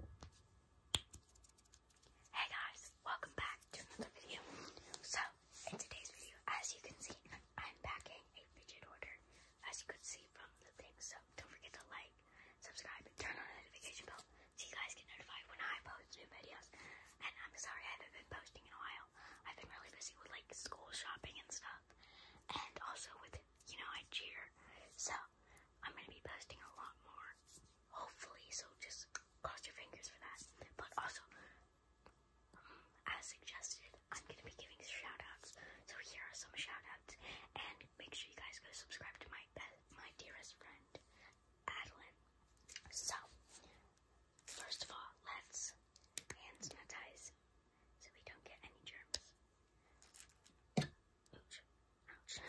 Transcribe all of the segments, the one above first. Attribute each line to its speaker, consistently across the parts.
Speaker 1: Hey guys, welcome back to another video. So, in today's video, as you can see, I'm packing a fidget order, as you could see from the thing. So, don't forget to like, subscribe, and turn on the notification bell so you guys get notified when I post new videos. And I'm sorry I haven't been posting in a while. I've been really busy with like school shopping and stuff, and also with you know, I cheer. So, I'm going to be posting a lot more, hopefully, so just cross your fingers for that. But also, mm, as suggested, I'm going to be giving shout-outs, so here are some shout-outs, and make sure you guys go subscribe to my best, my dearest friend, Adeline. So, first of all, let's hand sanitize so we don't get any germs. Ouch. Ouch.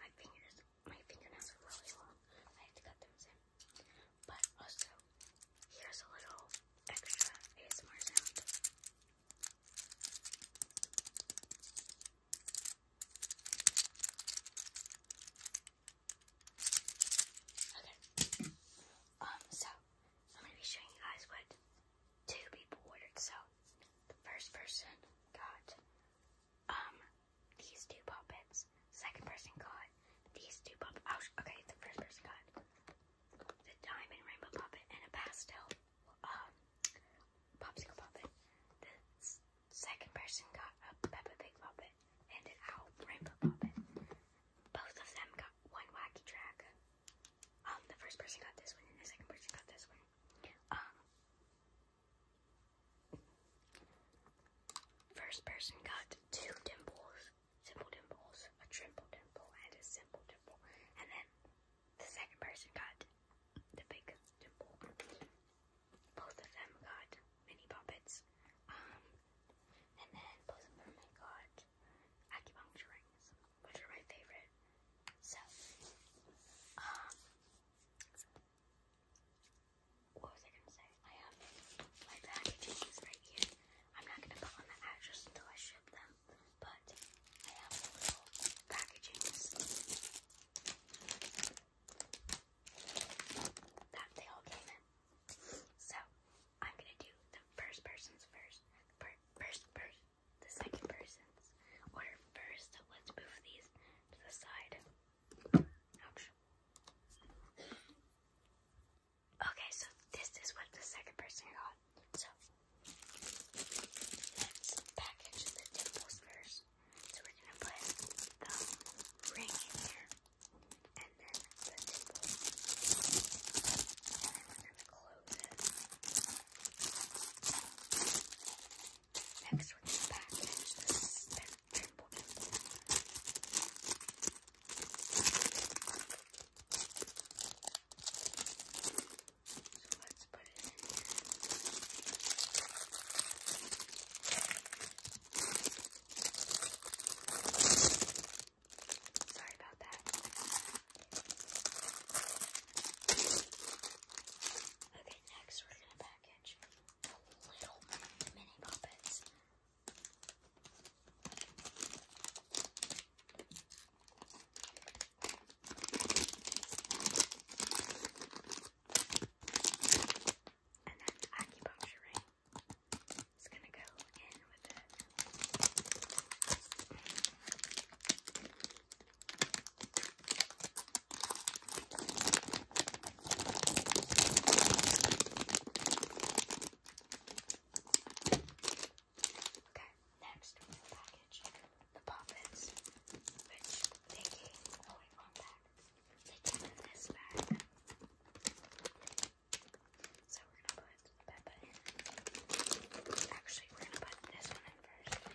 Speaker 1: my fingers, my fingernails are really long. I had to cut them in. But also, here's a little extra ASMR sound. Okay. Um, so I'm gonna be showing you guys what two people ordered. So the first person got um these two puppets. Second person got these two puppets. Oh, okay, the first person got the diamond rainbow puppet and a pastel um popsicle puppet. The second person got a Peppa Pig puppet it, and an owl, Rainbow Poppin. Both of them got one wacky track. Um, the first person got this one, and the second person got this one. Um, first person got two dimples, simple dimples, a triple dimple, and a simple dimple, and then the second person got the big dimple. Both of them got mini puppets. Um, and then of them I got acupuncture rings, which are my favorite. So, um, what was I gonna say? I have my packaging right here. I'm not gonna put on the address until I ship them, but I have little packagings that they all came in. So I'm gonna do the first person's first, per first the second person's order first. So let's move these to the side. Ouch. Okay, so this is what the second person got. So let's package the dimples first. So we're gonna put the ring in here and then the nipple. And then we're going to close it. Next, we're going to package this triple So let's put it in here. Sorry about that. Okay, next we're gonna package the little mini puppets and then acupuncture ring gonna go in with it. Okay, next we the package, the which they gave. Oh wait, wrong bag. It's in So we're gonna put Peppa in. Actually, we're gonna put this one in first.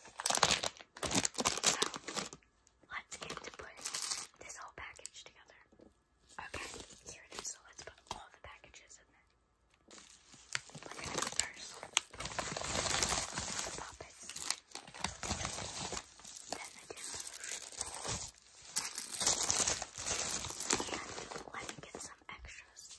Speaker 1: So, let's get to putting this whole package together. Okay, here it is. So let's put all the packages in there. We're gonna go first. The Then the demos. And let me get some extras.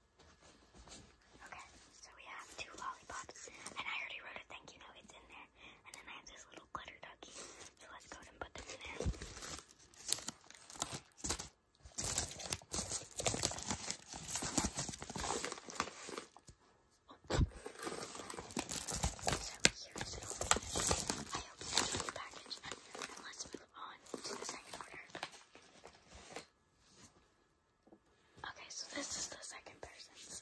Speaker 1: Okay, so we have two lollipops. And I already wrote a thank you note, it's in there. And then I have this little glitter ducky. So let's go and put this in there. So here's the whole package. And let's move on to the second order. Okay, so this is the second person's.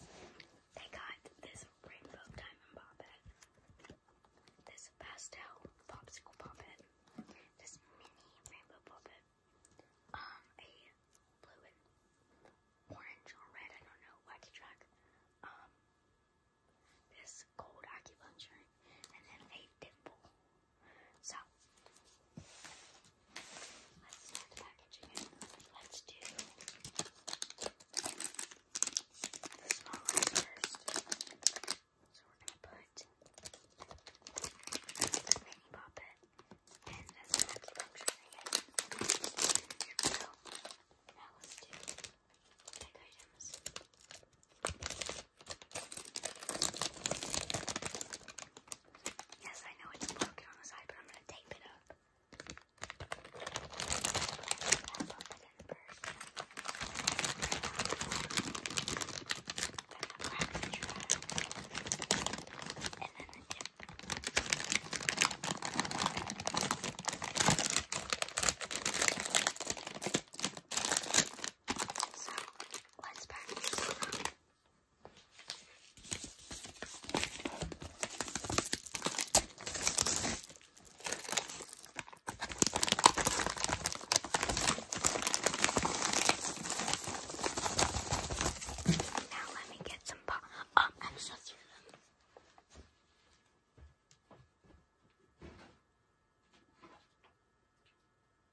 Speaker 1: They got this rainbow diamond poppet, this pastel popsicle poppet, this mini rainbow poppet, um, a blue and orange or red, I don't know, wacky track, um, this gold acupuncture, and then a dimple. So let's start packaging. Let's do the small one first. So we're gonna put the mini poppet and that's an acupuncture thing. So now let's do big items. Yes, I know it's broken on the side, but I'm gonna tape it up. I'll put in first. Then I'll grab the And then the dip. So, let's pack now let me get some pop. Oh, I'm um, so through them.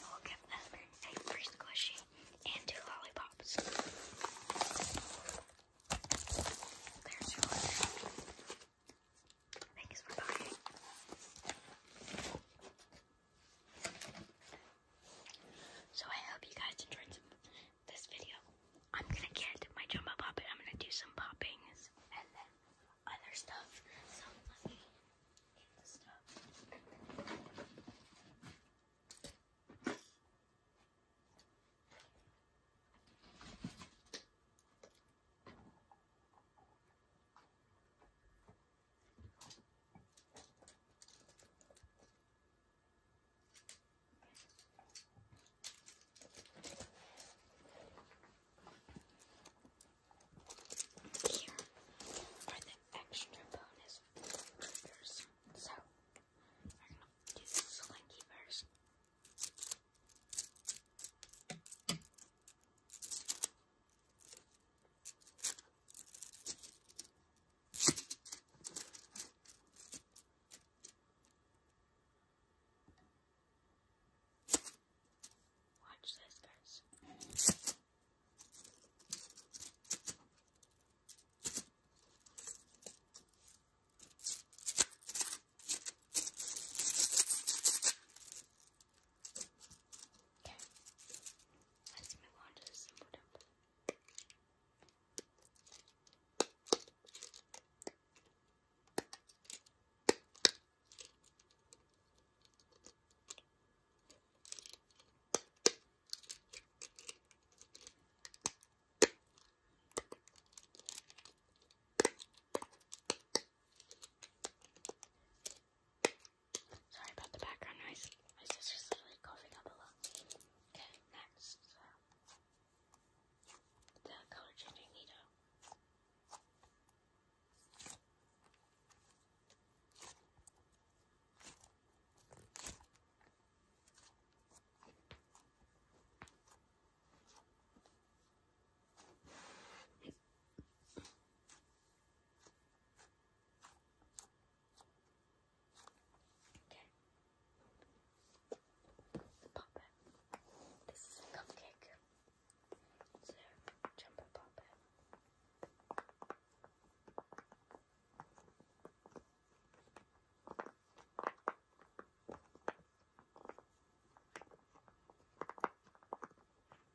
Speaker 1: We'll give them a free squishy and two lollipops. There's your order. Thanks for buying. So I hope you guys enjoyed this video. I'm gonna get my jumbo puppet. I'm gonna do some poppings and then other stuff. So let me get the stuff. Here are the extra bonus triggers. So we're gonna do the slinky first. Watch this, guys. Okay. Let's move on to the simple temple. Sorry about the background noise. My sister's literally coughing up a lot. Okay, next. The color changing Nido. Okay. The puppet. This is a cupcake. So jumper puppet.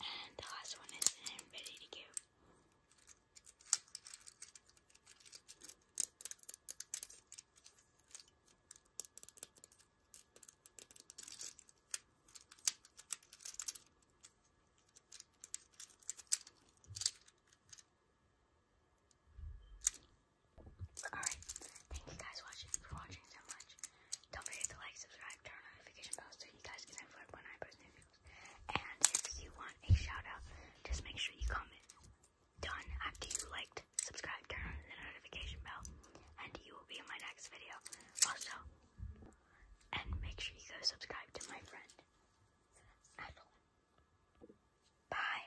Speaker 1: And the last one is ready to go. Alright, thank you guys for watching so much. Don't forget to like, subscribe, turn on notification bells so you guys get notified when I post new videos. And if you want a shout just make sure you comment done after you liked, subscribed, turn on the notification bell, and you will be in my next video. Also, and make sure you go subscribe to my friend. Bye.